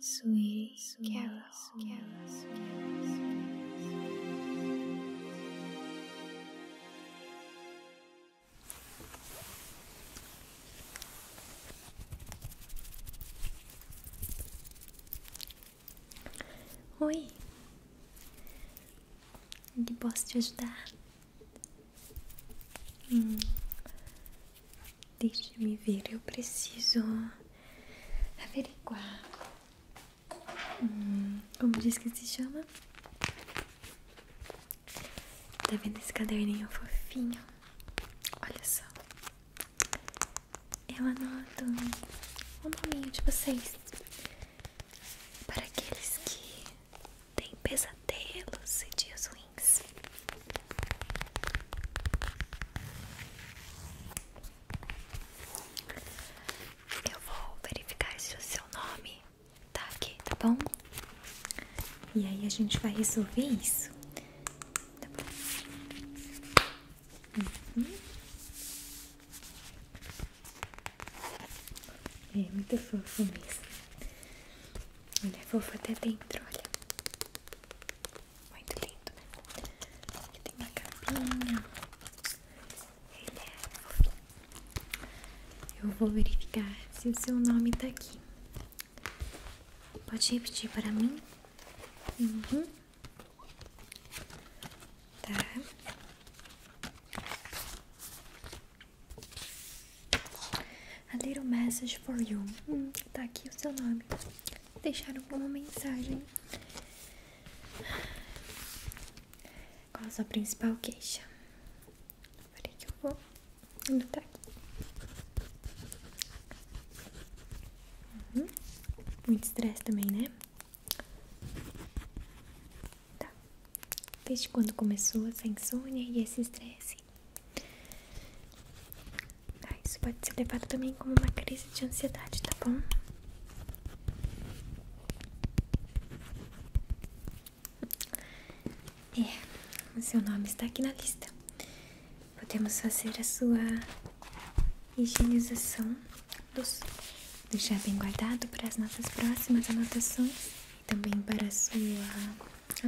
Sweet, sweet Carol. Carol, Oi, que posso te ajudar? Hum. Deixe-me ver, eu preciso averiguar. Hum, como diz que se chama? Tá vendo esse caderninho fofinho? Olha só. Eu anoto o nominho de vocês. Para aqueles que têm pesadelos e dias ruins. Eu vou verificar se o seu nome tá aqui, tá bom? E aí a gente vai resolver isso. Tá bom? Uhum. É muito fofo mesmo. Olha, é fofo até dentro, olha. Muito lindo, né? Aqui tem minha capinha. Ele é Eu vou verificar se o seu nome tá aqui. Pode repetir para mim? Uhum. Tá. A little message for you. Hum, tá aqui o seu nome deixaram alguma mensagem. Qual a sua principal queixa? Peraí que eu vou anotar aqui. Uhum. Muito estresse também, né? Tá. Desde quando começou essa insônia e esse estresse? Ah, isso pode ser levado também como uma crise de ansiedade, tá bom? É, o seu nome está aqui na lista. Podemos fazer a sua higienização dos. Deixar bem guardado para as nossas próximas anotações e também para a sua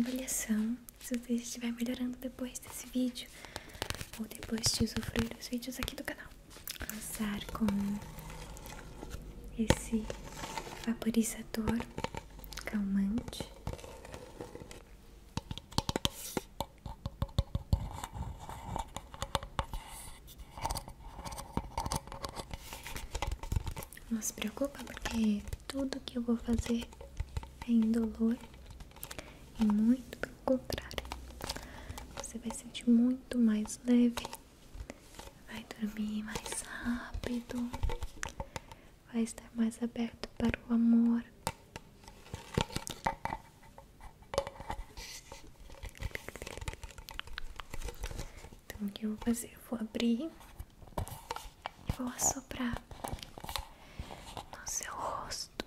avaliação se você estiver melhorando depois desse vídeo ou depois de usufruir os vídeos aqui do canal. Usar com esse vaporizador calmante. Não se preocupe porque tudo que eu vou fazer é indolor e muito pelo contrário, você vai sentir muito mais leve, vai dormir mais rápido, vai estar mais aberto para o amor. Então o que eu vou fazer? Eu vou abrir e vou assoprar no seu rosto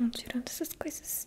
Não tirando essas coisas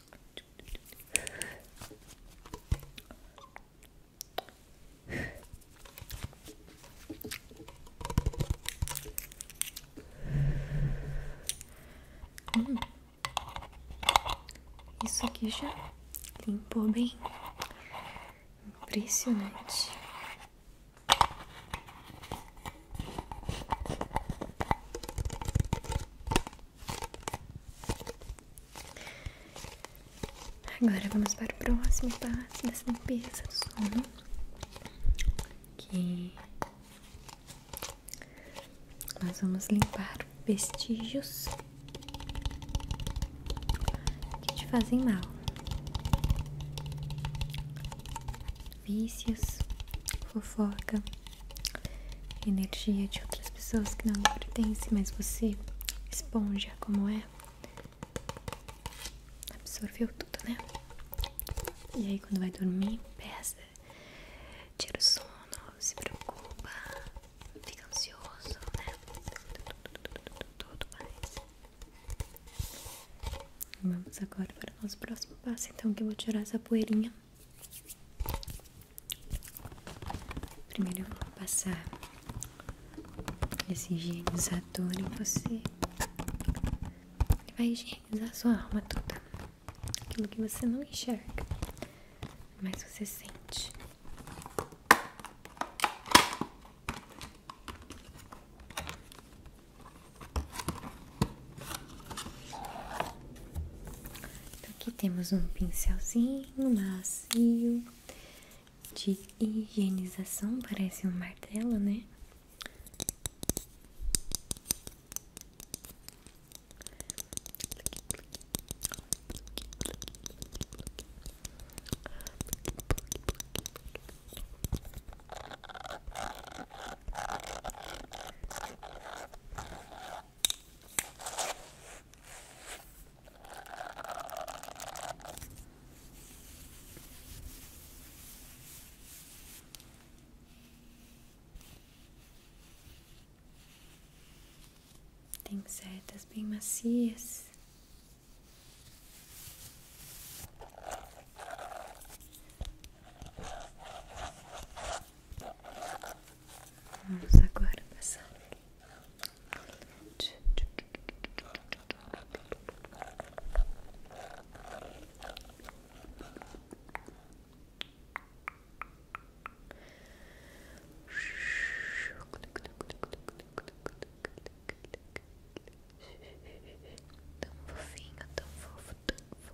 Hum. Isso aqui já limpou bem. Impressionante. Agora vamos para o próximo passo dessa limpeza do sono, que nós vamos limpar vestígios que te fazem mal, vícios, fofoca energia de outras pessoas que não lhe pertence, mas você, esponja como é, absorveu tudo, né? E aí quando vai dormir, pesa, tira o sono, se preocupa, fica ansioso, né? Tudo mais. Vamos agora para o nosso próximo passo, então que eu vou tirar essa poeirinha Primeiro eu vou passar esse higienizador em você. Ele vai higienizar sua alma toda. Aquilo que você não enxerga, mas você sente. Então, aqui temos um pincelzinho macio de higienização, parece um martelo, né? Tem setas bem macias. Vamos agora passar aqui. Tão fofinho, tão fofo, tão fofo.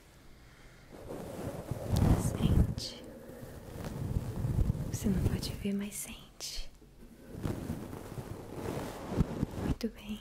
Sente. Você não pode ver, mas sente. Muito bem.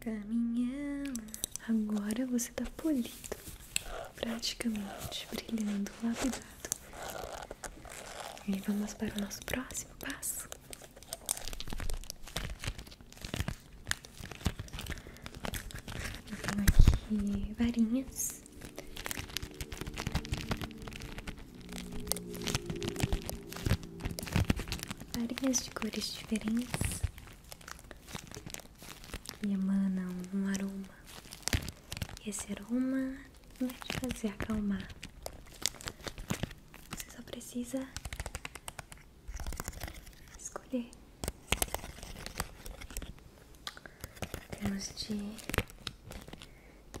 Caminhando, agora você tá polido, praticamente brilhando, lapidado. E vamos para o nosso próximo passo. Eu aqui varinhas. Varinhas de cores diferentes que emanam um aroma e esse aroma vai de fazer acalmar. Você só precisa escolher. Temos de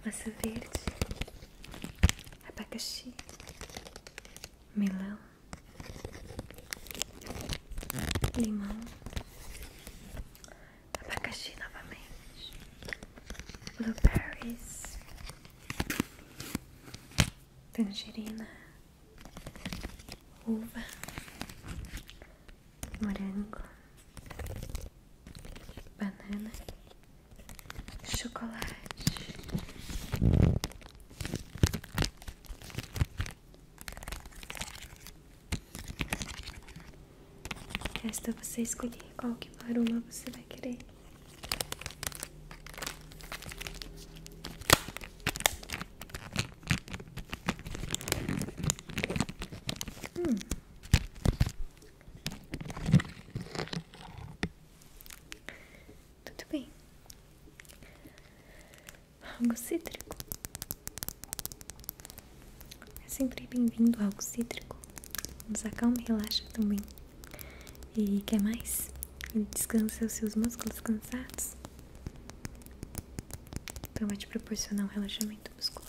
massa verde, abacaxi, melão, limão, Tá abacaxi novamente, blueberries, tangerina, uva, morango, banana, chocolate. Resta você escolher qual que aroma você vai querer. Hum. Tudo bem. Água cítrico. É sempre bem-vindo algo cítrico. Nos acalma e relaxa também. E quer mais? Descansa os seus músculos cansados. Então vai te proporcionar um relaxamento muscular.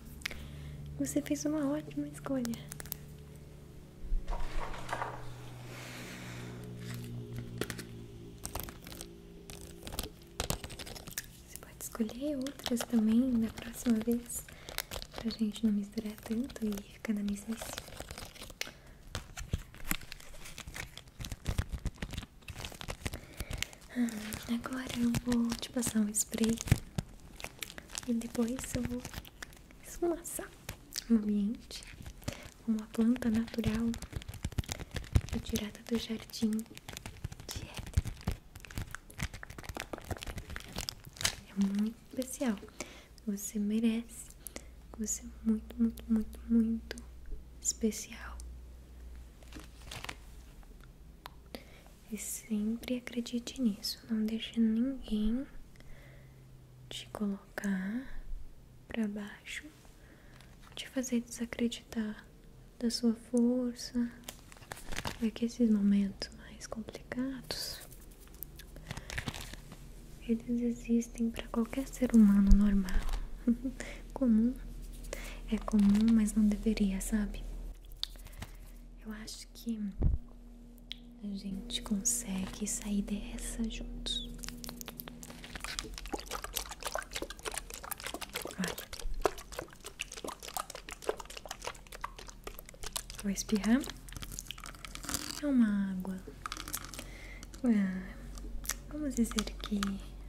Você fez uma ótima escolha. Você pode escolher outras também da próxima vez, pra gente não misturar tanto e ficar na mesma. Ah, agora eu vou te passar um spray e depois eu vou esfumaçar o ambiente com uma planta natural retirada do jardim de Éden. É muito especial. Você merece. Você é muito, muito, muito, muito especial. E sempre acredite nisso, não deixe ninguém te colocar para baixo, te fazer desacreditar da sua força. É que esses momentos mais complicados eles existem para qualquer ser humano normal, comum. É comum, mas não deveria, sabe? Eu acho que a gente consegue sair dessa juntos. Olha. espirrar. É uma água. Ah, vamos dizer que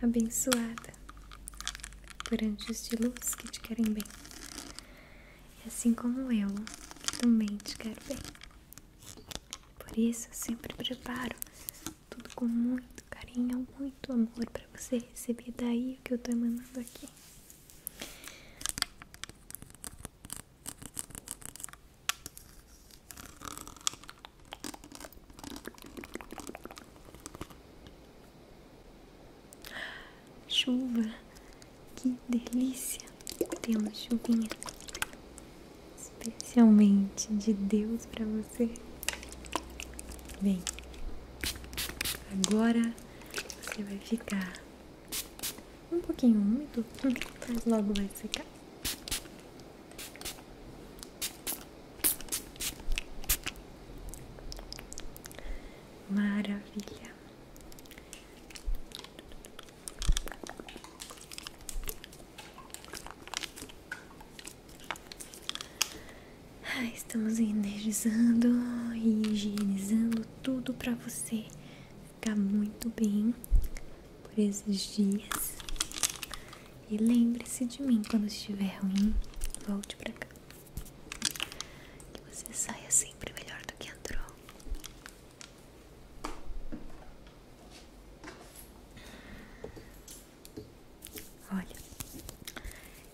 abençoada por anjos de luz que te querem bem e assim como eu, também te quero bem. Por isso, eu sempre preparo tudo com muito carinho, muito amor para você receber daí o que eu estou emanando aqui. Chuva, que delícia! Temos chuvinha especialmente de Deus para você. Bem, agora você vai ficar um pouquinho úmido, mas logo vai secar. Maravilha! estamos energizando e higienizando tudo para você ficar muito bem por esses dias. E lembre-se de mim quando estiver ruim, volte para cá. Que você saia sempre melhor do que entrou. Olha,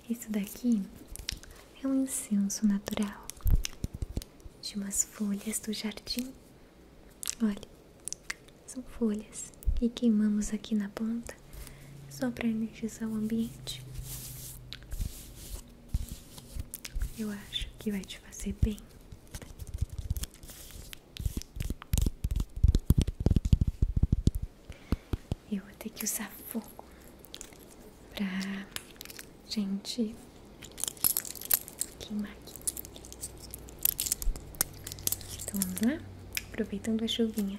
isso daqui é um incenso natural de umas folhas do jardim. Olha, são folhas e queimamos aqui na ponta só para energizar o ambiente. Eu acho que vai te fazer bem. Eu vou ter que usar fogo pra gente queimar aqui. Então vamos lá? Aproveitando a chuvinha.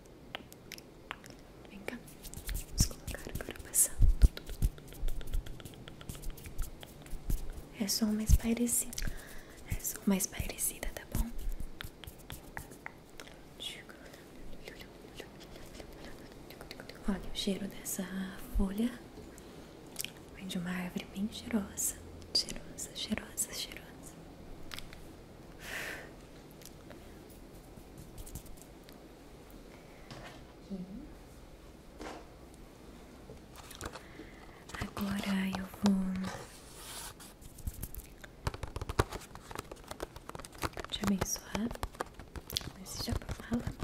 Vem cá, vamos colocar agora passando. É só uma espairecida, é só uma espairecida, tá bom? Olha o cheiro dessa folha. Vem de uma árvore bem cheirosa. Cheirosa, cheirosa, cheirosa. Agora eu vou te abençoar nesse japamala.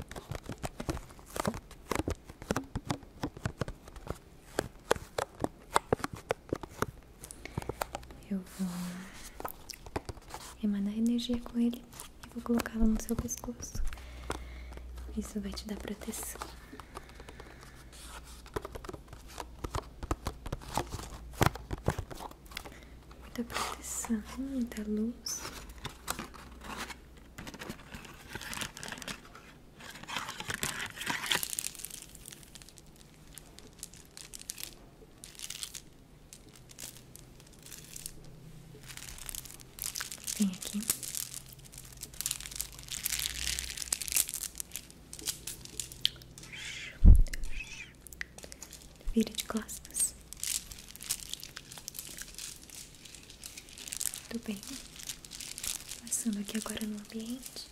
Eu vou emanar energia com ele e vou colocá-lo no seu pescoço. Isso vai te dar proteção. Muita proteção, muita luz. Vem aqui. Vira de costas. Tudo bem. Passando aqui agora no ambiente.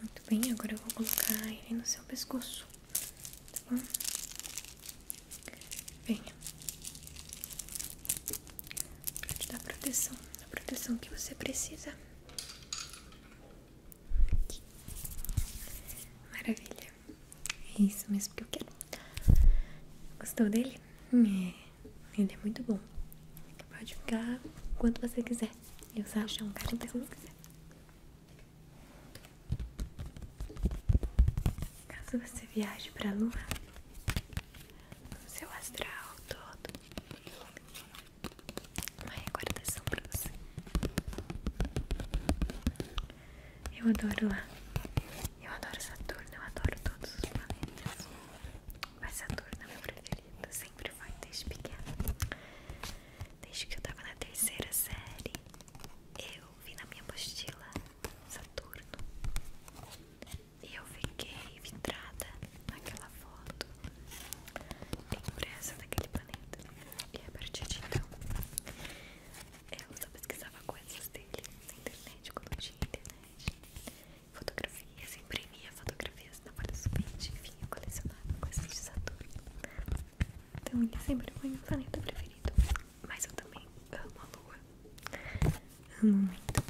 Muito bem, agora eu vou colocar ele no seu pescoço, tá bom? Venha. Pra te dar proteção, a proteção que você precisa. Maravilha. É isso mesmo que eu quero. Gostou dele? É, ele é muito bom. Pode ficar quanto você quiser. Eu só achar um cara quanto você quiser. Caso você viaje pra lua, o seu astral todo. Uma recordação pra você. Eu adoro lá. Eu adoro Saturno, eu adoro todos os planetas. Mas Saturno é meu preferido, sempre vai desde pequena. Desde que eu tava na terceira série, eu vi na minha apostila Saturno. E eu fiquei vidrada naquela foto impressa daquele planeta. E a partir de então, eu só pesquisava coisas dele na internet, quando tinha internet, né? fotografias, imprimia fotografias na folha sulfite, de eu colecionava coisas de Saturno. Então ele sempre foi meu planeta preferido, mas eu também amo a Lua, amo muito.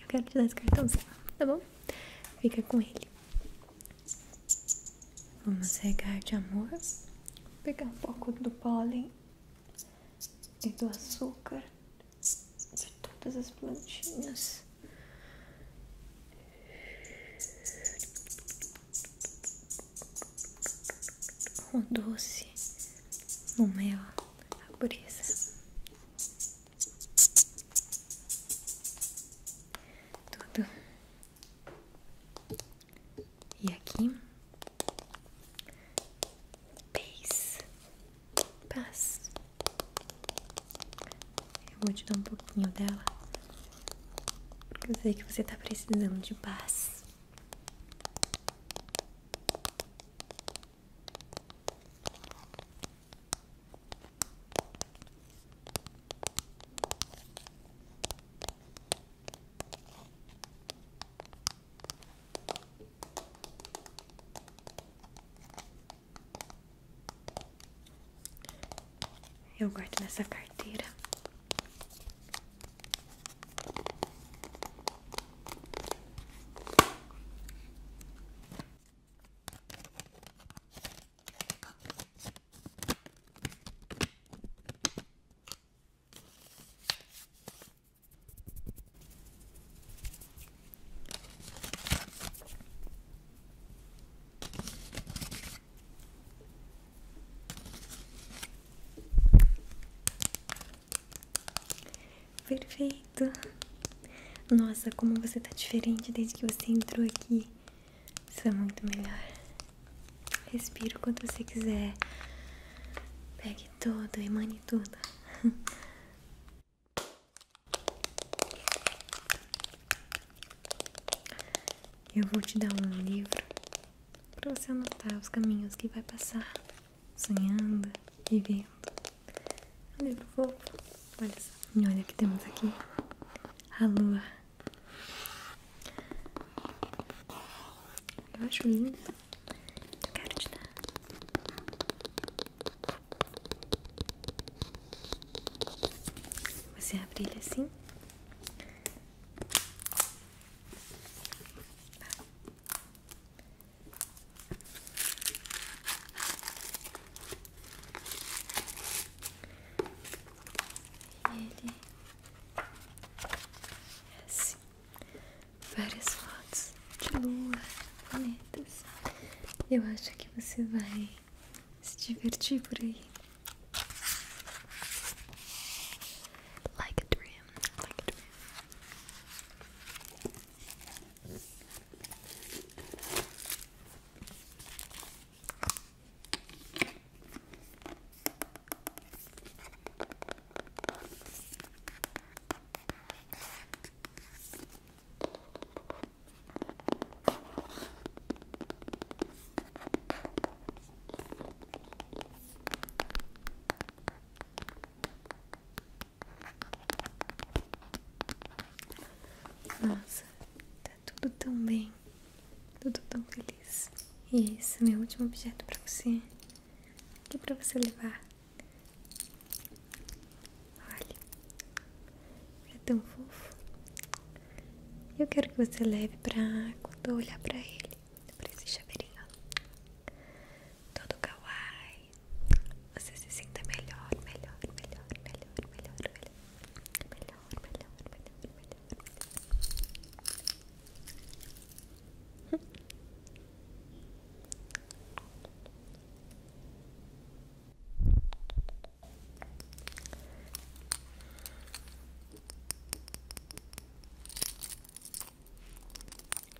Eu quero te dar esse cartãozinho, tá bom? Fica com ele. Vamos regar de amor, pegar um pouco do pólen e do açúcar de todas as plantinhas. O doce, o mel, a brisa. Tudo. E aqui Paz. Paz. Eu vou te dar um pouquinho dela. Eu sei que você está precisando de paz. Eu guardo nessa carteira. Perfeito. Nossa, como você está diferente desde que você entrou aqui. Isso é muito melhor. Respira quando você quiser. Pegue todo e mani e Eu vou te dar um livro para você anotar os caminhos que vai passar, sonhando e vendo. Um livro fofo. Olha só. E olha que temos aqui. A lua. Eu acho lindo. Eu quero te dar. Você abre ele assim. ele é assim várias fotos de lua, planetas. Eu acho que você vai se divertir por aí. Like a dream, like a dream. Nossa, tá tudo tão bem, tudo tão feliz. E esse é meu último objeto para você, aqui é para você levar Olha, é tão fofo. Eu quero que você leve pra quando eu olhar pra ele, pra esse chaveirinho. Todo kawaii. Você se sinta melhor, melhor, melhor, melhor, melhor, melhor. Melhor, melhor, melhor, melhor.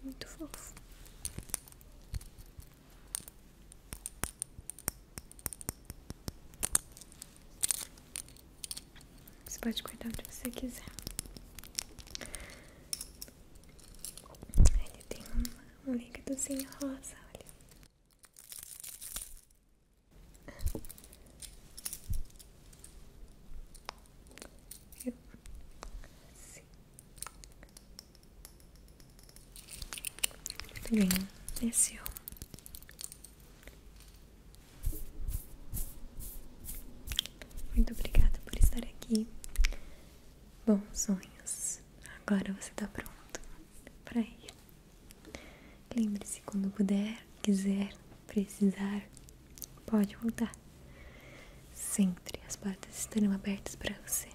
Muito fofo. Você pode cuidar do que você quiser. Ele tem um, um líquidozinho rosa, olha. Viu? bem, esse é muito obrigada por estar aqui. Bons sonhos. Agora você está pronto para ir. Lembre-se quando puder, quiser, precisar, pode voltar. Sempre as portas estarão abertas para você.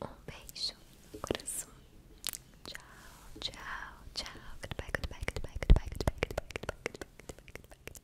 Um beijo no coração Ciao, ciao, ciao. Goodbye, goodbye, goodbye, goodbye, goodbye, goodbye, goodbye, goodbye, goodbye, goodbye, goodbye.